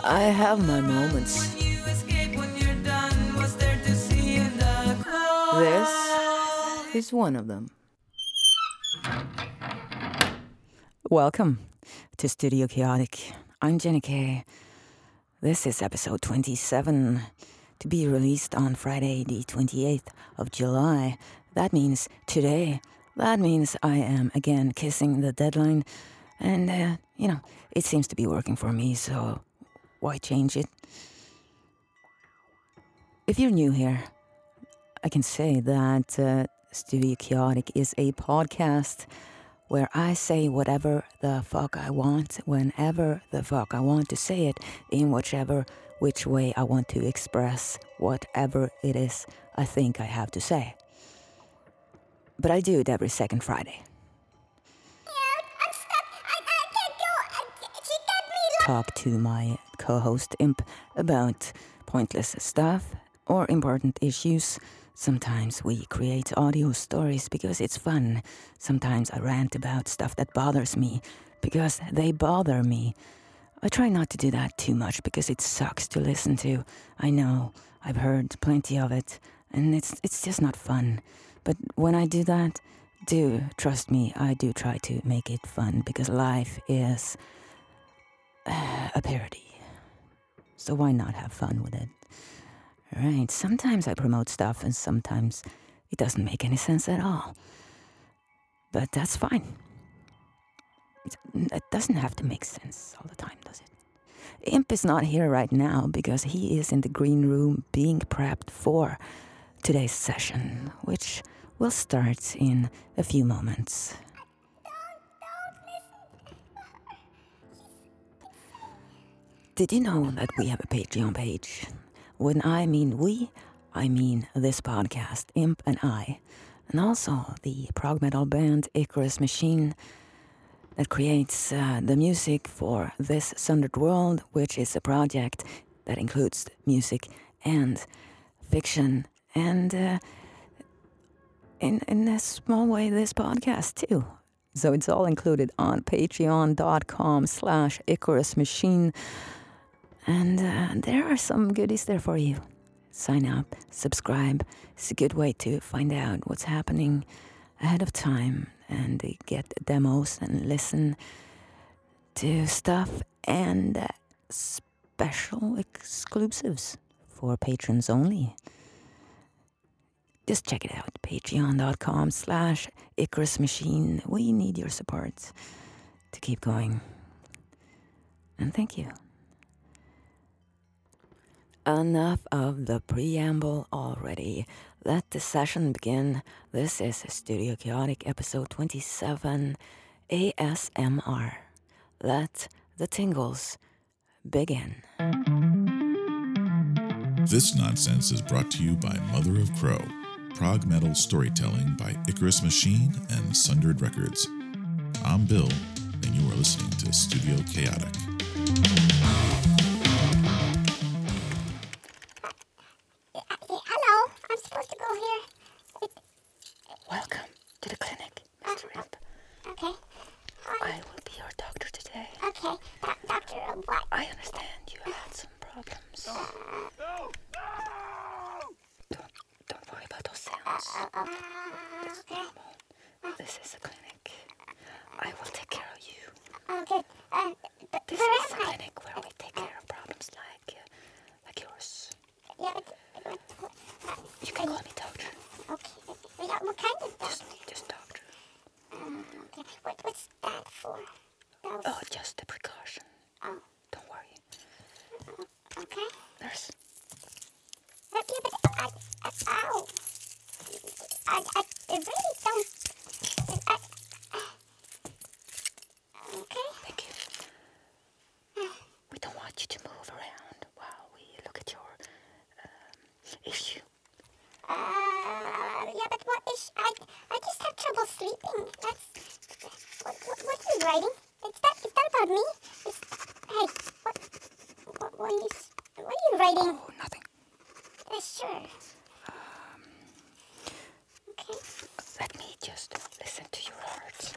I have my moments. This is one of them. Welcome to Studio Chaotic. I'm Jenny Kay. This is episode 27 to be released on Friday, the 28th of July, that means today. That means I am again kissing the deadline. And, uh, you know, it seems to be working for me, so why change it? If you're new here, I can say that uh, Studio Chaotic is a podcast where I say whatever the fuck I want, whenever the fuck I want to say it, in whichever which way I want to express whatever it is I think I have to say. But I do it every second Friday. talk to my co host Imp about pointless stuff or important issues. Sometimes we create audio stories because it's fun. Sometimes I rant about stuff that bothers me because they bother me. I try not to do that too much because it sucks to listen to. I know, I've heard plenty of it, and it's, it's just not fun. But when I do that, do trust me, I do try to make it fun because life is uh, a parody. So why not have fun with it? Right, sometimes I promote stuff and sometimes it doesn't make any sense at all. But that's fine. It doesn't have to make sense all the time, does it? Imp is not here right now because he is in the green room being prepped for today's session, which will start in a few moments. Did you know that we have a Patreon page? When I mean we, I mean this podcast. Imp and I, and also the prog metal band Icarus Machine that creates uh, the music for This Sundered World, which is a project that includes music and fiction and uh, in, in a small way this podcast too. So it's all included on patreon.com slash Icarus Machine. And uh, there are some goodies there for you. Sign up, subscribe. It's a good way to find out what's happening ahead of time and get demos and listen to stuff and uh, special exclusives for patrons only. Just check it out, patreon.com slash Icarus Machine. We need your support to keep going. And thank you. Enough of the preamble already. Let the session begin. This is Studio Chaotic episode 27 ASMR. Let the tingles begin. This nonsense is brought to you by Mother of Crow prog metal storytelling by Icarus Machine and Sundered Records. I'm Bill, and you are listening to Studio Chaotic. Hello, I'm supposed to go here. Welcome to the clinic, Mr. Uh, Okay. Um, I will be your doctor today. Okay, doctor what? I understand you had some problems. Uh, no! No! no! Don't worry about those sounds. That's normal. This is a clinic. I will take care of you. Okay. this is a clinic where we take care of problems like, uh, like yours. Yeah, you can call me doctor. Okay. Yeah, what kind of doctor? Just, just doctor. Um, okay. What, what's that for? Oh, just a precaution. Oh. Don't worry. Okay. Nurse. Okay, but I, I, ow. I, I, it really don't. I, okay. Thank you. We don't want you to move around while we look at your um, issue. Uh, yeah, but what issue? I, I just have trouble sleeping. What, what's this writing? It's not, it's about me. hey, what, what, what, is, what are you writing? Oh, nothing. Uh, sure. Um, okay. Let me just listen to your heart.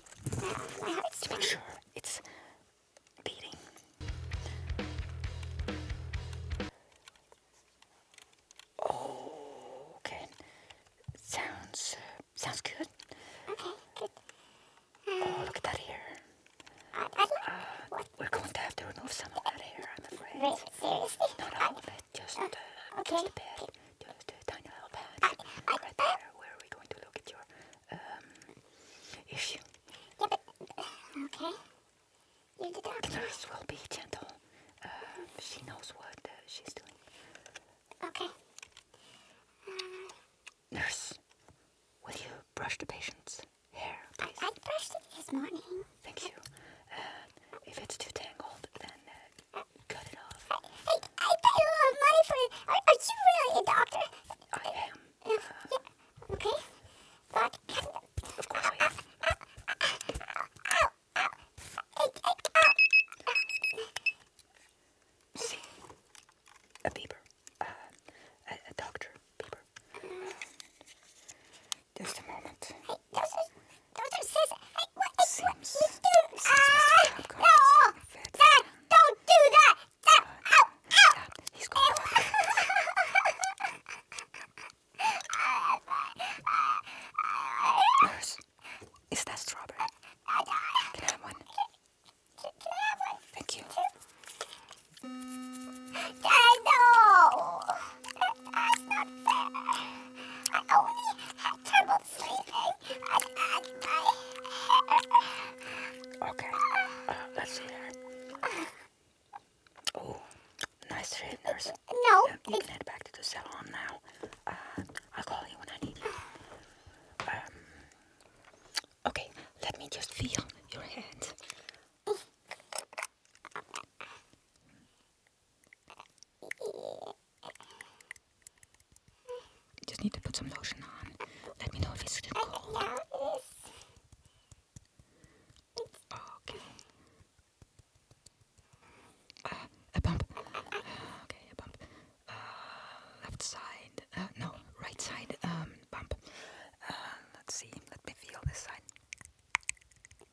to make sure it's beating. Oh, okay. Sounds uh, sounds good. Okay, good. Uh, oh, um, look at that hair. Uh, uh, we're going to have to remove some of that hair, I'm afraid. Wait, seriously? Not all of it, just, uh, uh, okay. just a bit. Just a tiny little patch. right there, where we're going to look at your um, issue. Yeah, but, uh, okay. You did that. Nurse will be gentle. Um, she knows what uh, she's doing. Okay. Uh, nurse, will you brush the patient's hair, I, I brushed it this morning. Thank you. Um, if it's too tangled, then uh, cut it off. I, I, I paid a lot of money for it. Are, you really a doctor? I am. Okay. But of See, a beaver, uh, a, doctor beaver. Just a moment. Seems, seems Mr. Popcorn is having is that strawberry? Can I have one? Can I have one? Thank you. I know. That's not fair. I only had trouble sleeping. I had my hair. Okay. Uh, let's see that. Oh, nice shade, nurse. No. Yeah, you can head back to the salon now. Uh, I'll call you when I need you. Um, okay, let me just feel your hand. Just need to put some lotion on. Let me know if it's still cold. Okay. Uh, a bump. okay, a bump. Uh, left side. Uh, no, right side. Um, bump. let's see. Let me feel this side.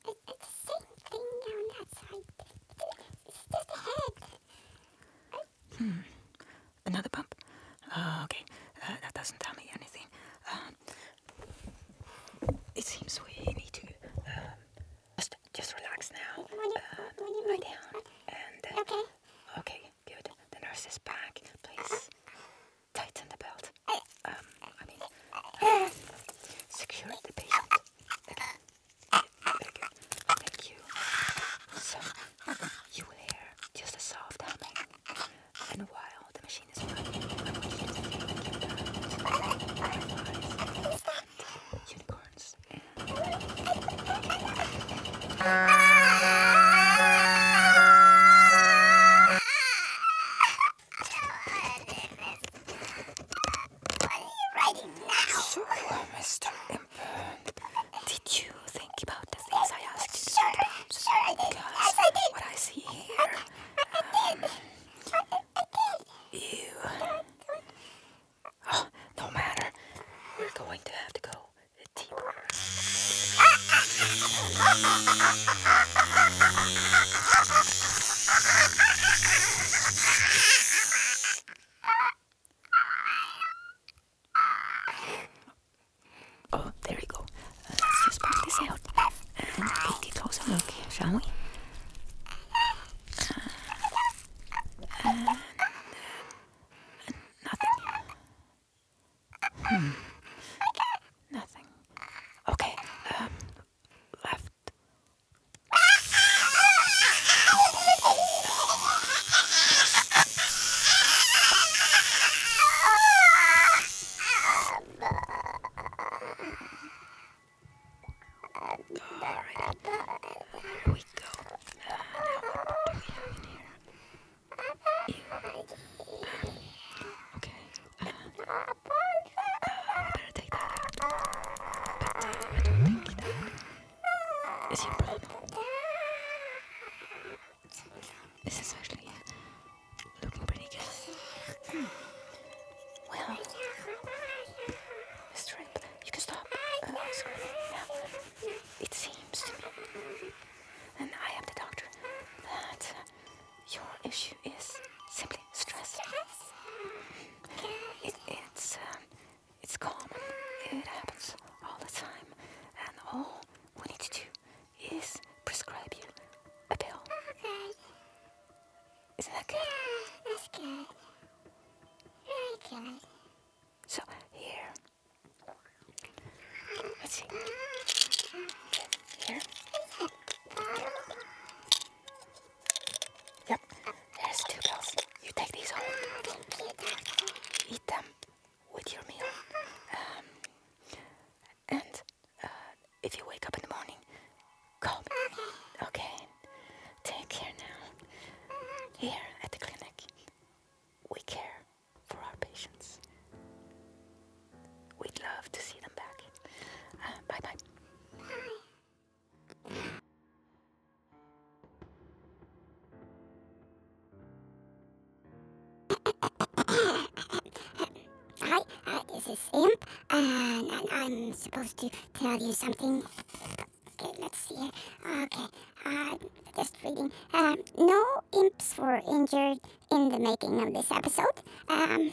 It, Hmm. Another bump. okay, that doesn't tell me anything. it seems we need to um, just, just relax now. Uh, lie down. And, uh, okay. Okay, good. The nurse is back. Please tighten the belt. Um, I mean, secure the patient. Okay. Thank you. So, you will hear just a soft humming. And while the machine is running, unicorns. So, Mr. Imburn, did you think about the things I asked you to think about? what I see here, um, Ew. Oh, no matter. We're going to have to go deeper. Oh, there we go. let's just pop this out and take a closer look, shall we? and, and nothing. Hmm. Nothing. Okay. Um. Left. Alright, here we go. Uh, now what do we have in here? Uh, okay. Uh, uh, better take that out. But I don't think that is your problem. This is actually looking pretty good. Hmm. Well, strength. You can stop uh, It seems to me, and I am the doctor, that your issue is simply stress. it's um, it's common. It happens all the time, and all we need to do is prescribe you a pill. Isn't that good? Yeah, that's good. Very good. So here. Let's see. Here. Yep. There's two bells. You take these home. Eat them with your meal. Um, and uh, if you wake up in the morning, call me. Okay? Take care now. Here at the clinic, we care for our patients. We'd love to see them back. Uh, bye bye. Hi, uh, this is Imp, and, I'm supposed to tell you something. Okay, let's see Okay, uh, just reading. Um, no imps were injured in the making of this episode. Um,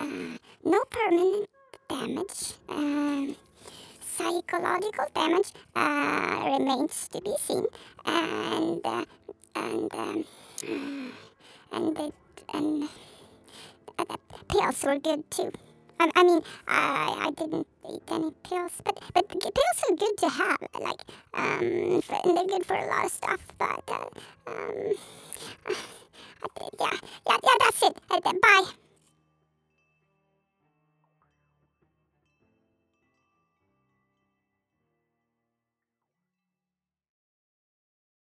uh, no permanent damage. Um, psychological damage uh, remains to be seen, and uh, and um, uh, and and. and the pills were good too. I mean, I, I didn't eat any pills, but but pills are good to have. Like, um, and they're good for a lot of stuff. But uh, um, yeah, yeah, yeah. That's it. bye.